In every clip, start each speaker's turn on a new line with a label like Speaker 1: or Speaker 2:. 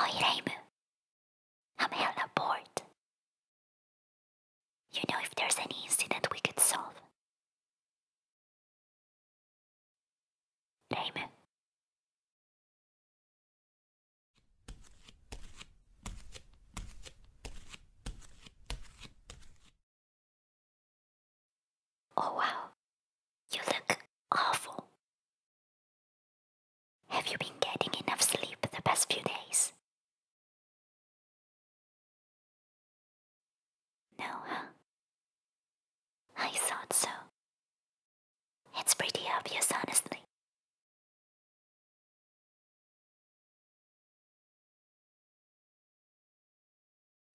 Speaker 1: Hi, Raim. I'm hella bored. You know if there's any incident we could solve. Raim, Oh wow, you look awful. Have you been getting enough sleep the past few days? No, huh? I thought so. It's pretty obvious, honestly.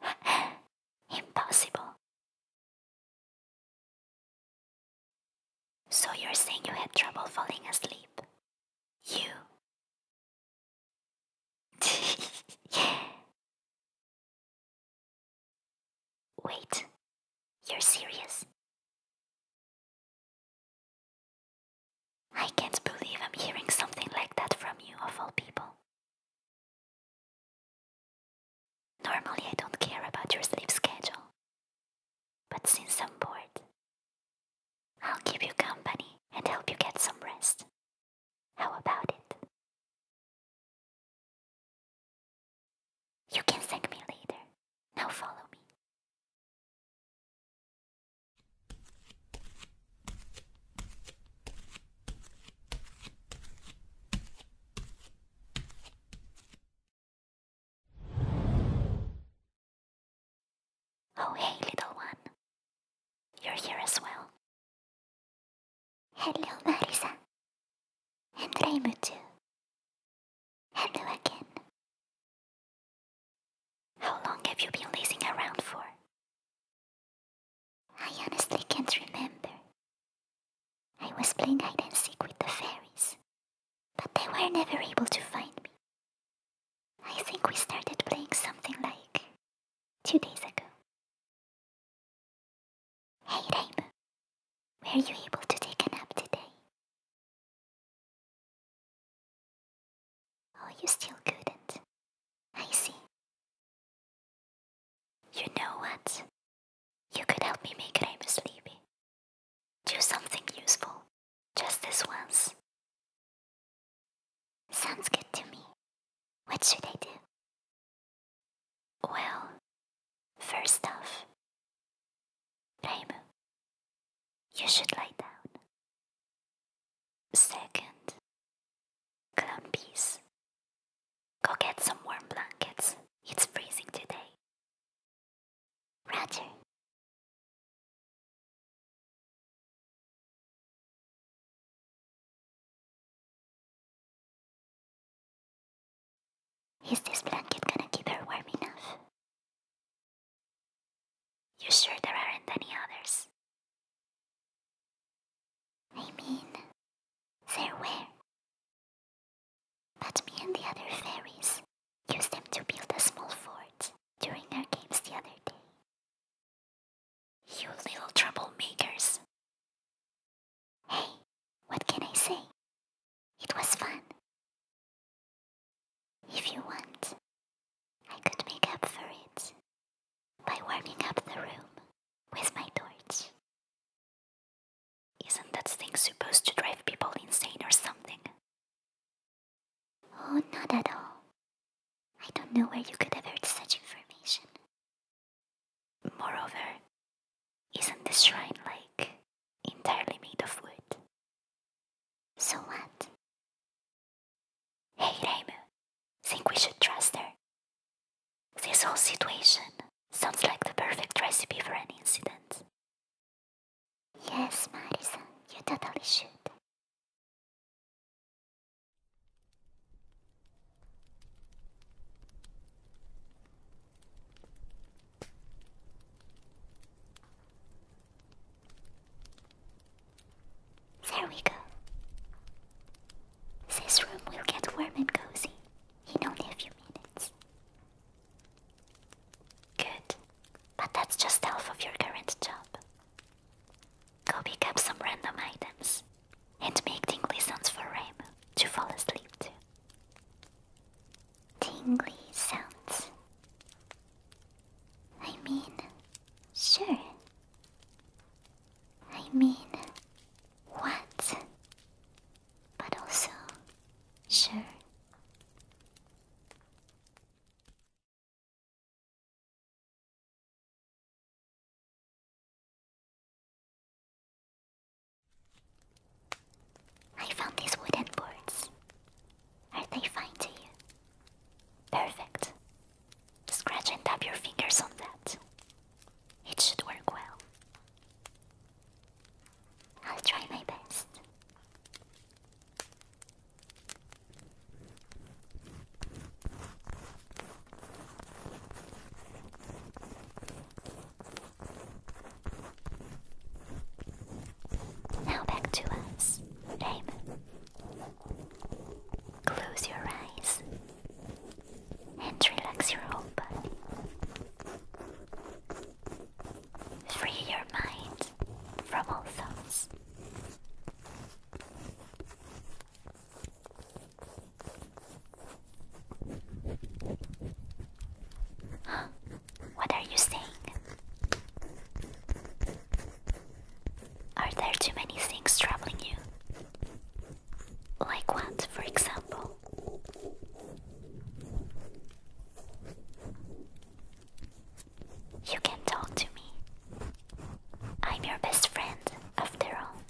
Speaker 1: Impossible. So you're saying you had trouble falling asleep? You. Wait, you're serious? I can't believe I'm hearing something like that from you, of all people. Normally,
Speaker 2: I don't care about your sleep schedule. But since I'm bored, I'll keep you company and help you get some rest. How about it? You can thank me later. Now follow me.
Speaker 1: Oh, hey, little one. You're here as well. Hello, Marisa. And Reimu too. Hello again. How long
Speaker 2: have you been lazing around for? I honestly can't remember. I was playing hide and seek with the fairies, but they were never able to find me. I think we started playing something like
Speaker 1: two days ago. Hey Raymond, were you able to take a nap today? Oh, you still couldn't. I see. You know what? You could help me make Raymond sleepy. Do something useful, just this once. Sounds good to me. What should I do? Well, first
Speaker 2: off, Raimu, you should lay down. Second, Clown go get some warm blankets. It's freezing today. Roger.
Speaker 1: Is this blanket gonna keep her warm enough? You sure there aren't any others? I mean,
Speaker 2: there were. But me and the other fairies used them to build a small fort during our games the other day. You little troublemakers! Hey, what can I say? It was fun. If you want,
Speaker 1: I could make up for it by warming up the room with my torch. Isn't that thing supposed to drive people insane or something?
Speaker 2: Oh, not at all. I don't know where you could have heard such information. Moreover, isn't the shrine like entirely made of wood? So what? Hey Reimu, think we should trust her? This whole situation sounds like the perfect recipe for an incident.
Speaker 1: Yes, Marisa, you totally should.
Speaker 2: There we go. This room will get warm and cozy in only a few minutes. Good. But that's just half of your current job. Go pick up some random items and make tingly sounds for Rainbow to fall asleep to. Tingly sounds. I mean, sure. I mean, what?
Speaker 1: But also, sure. I found these wooden boards.
Speaker 2: Are they fine to you? Perfect. Scratch and tap your fingers on that. It should work well. I'll try my best. Now back to us, Raymond. Close your eyes and relax your whole body. Free your mind from all thoughts. What are you saying? Are there too many things troubling you? Like what, for example? You can talk to me. I'm your best friend, after all.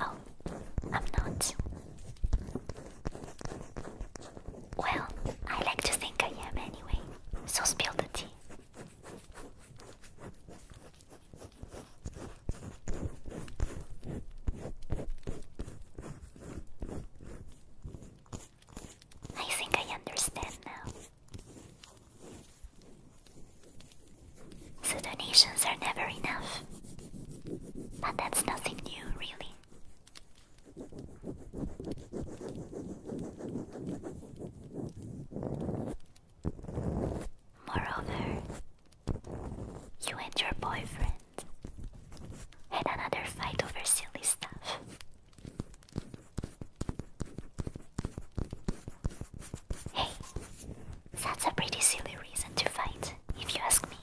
Speaker 2: Oh, I'm not. Well, I like to think I am anyway, so spill the tea. I think I understand now. So donations are never enough. But that's nothing new, really. Moreover, you and your boyfriend had another fight over silly stuff. Hey, that's a pretty silly reason to fight, if you ask me.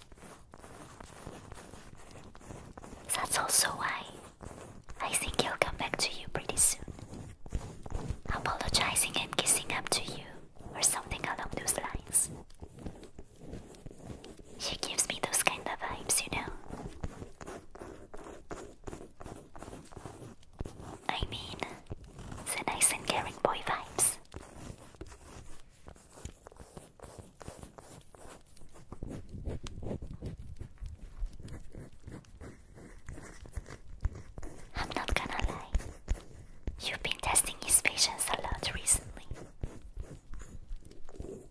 Speaker 2: That's also why I think he'll come back to you pretty soon, apologizing and kissing up to you, or something along those lines. She gives me those kind of vibes, you know. I mean, the nice and caring boy vibes. I'm not gonna lie, you've been testing his patience a lot recently.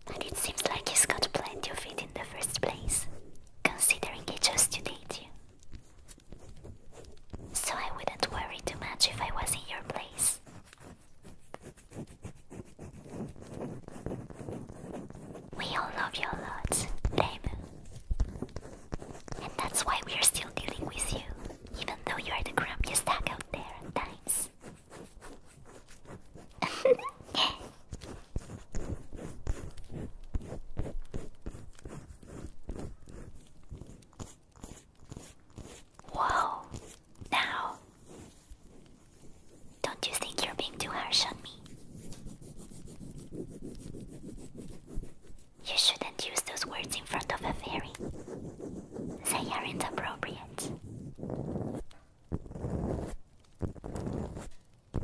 Speaker 2: But it seems like he's got plenty of it in the first place considering he chose to date you. So I wouldn't worry too much if I was in your place. We all love you a lot, Lemu. And that's why we're still dealing with you, even though you are the grumpiest duck out there at Whoa, now don't you think you're being too harsh on me? You shouldn't use those words in front of a fairy, they are inappropriate.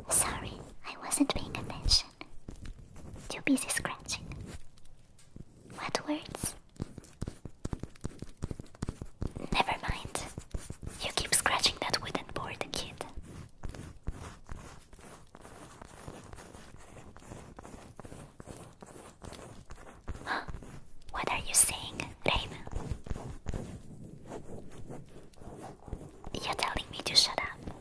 Speaker 2: Sorry, I wasn't paying attention. Too busy scratching. What words? Never mind. You keep scratching that wooden board, kid. What are you saying, Raven? You're telling me to shut up.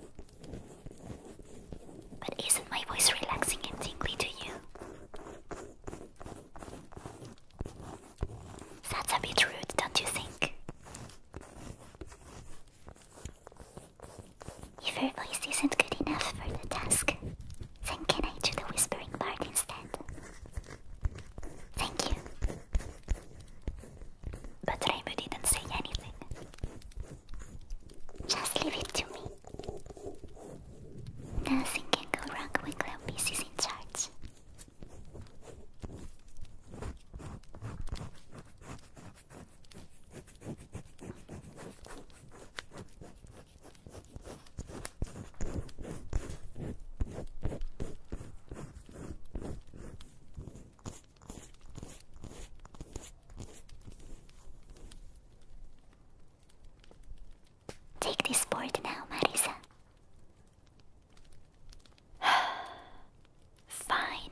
Speaker 2: But isn't my voice relaxing and tingly to you? That's a bit rude, don't you think? If her voice isn't good enough for the task, then can I do the whispering part instead? Thank you. But Raimu didn't say anything. Just leave it to me. Nothing can go wrong when Glamis is in charge.
Speaker 1: Take this board now, Marisa. Fine.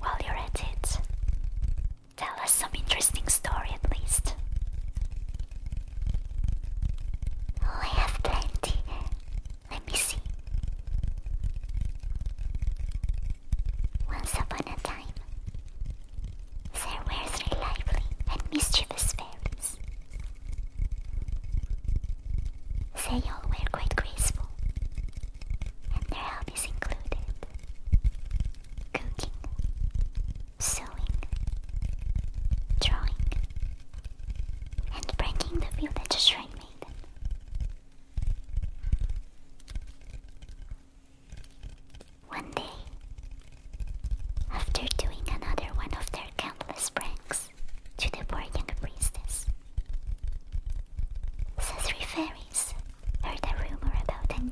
Speaker 2: While you're at it, tell us some interesting story at least. Oh, I have plenty. Let me see. Once upon a time, there were three lively and mischievous fairies. They all were quite graceful, and their hobbies included cooking, sewing, drawing, and breaking the village shrine maiden. One day, after doing another one of their countless pranks, to the poor younger princess, the three fairies heard a rumor about a new,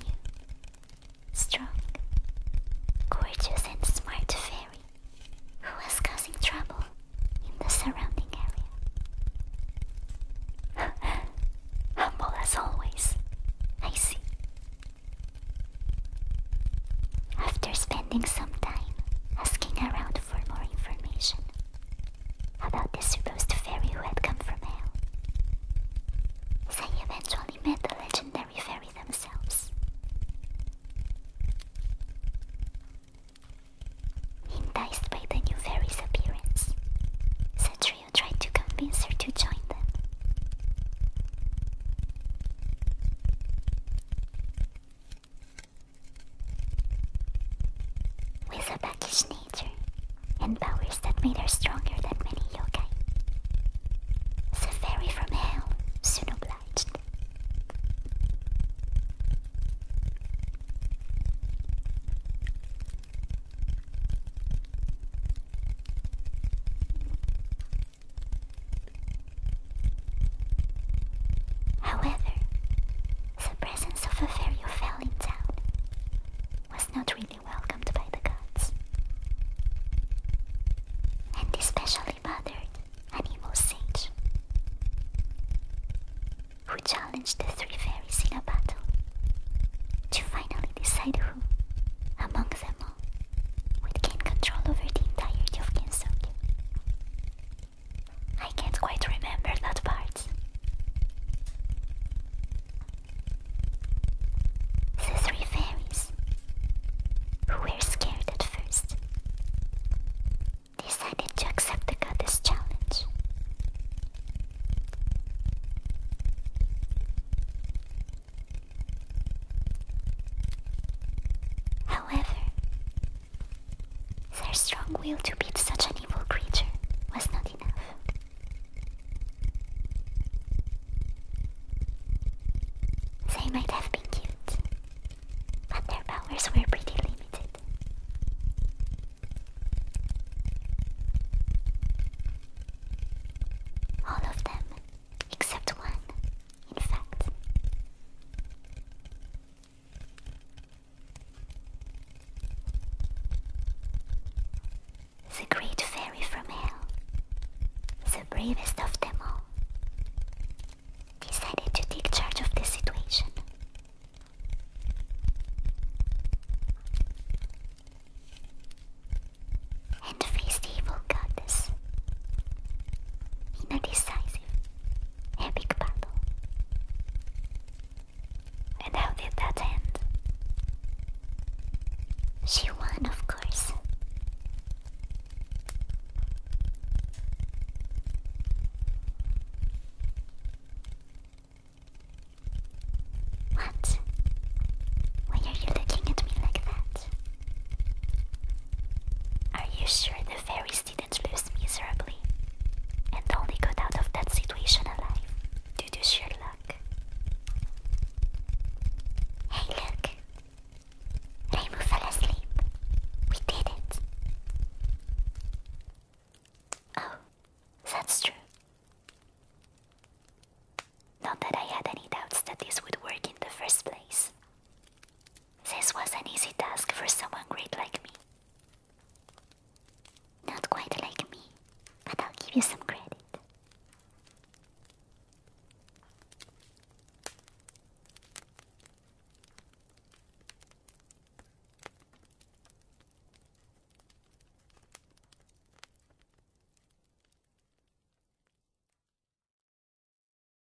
Speaker 2: strong, gorgeous and smart fairy who was causing trouble in the surrounding area. Humble as always, I see. After spending some time asking around for more information, about this supposed fairy who had come from hell. They eventually met the legendary fairy themselves. Enticed by the new fairy's appearance, Satrio tried to convince her to join them. With a backish nature and powers that made her stronger than many yokai, the fairy from hell soon obliged. However, the presence of a fairy who fell in town was not really welcomed by the gods, and especially bothered an evil who challenged the three fairies in a battle to finally decide who, among them all, would gain control over the entirety of Kensuke. I can't quite remember that part. The three fairies, who were scared at first, decided to accept the goddess challenge. However, their strong will to beat such an evil creature was not enough. They might have been cute, but their powers were pretty limited. All of them, except one, in fact, the great fairy from hell, the bravest of them all, decided to take charge of the situation. And face the evil goddess in a decisive Epic battle. And how did that end? She won, of course. What? Why are you looking at me like that? Are you sure the fairy didn't lives miserably and only got out of that situation alive due to sheer luck. Hey, look! Raimu fell asleep. We did it. Oh, that's true. Not that I had any doubts that this would work in the first place. This was an easy task for someone great like me. Not quite like me, but I'll give you some credit.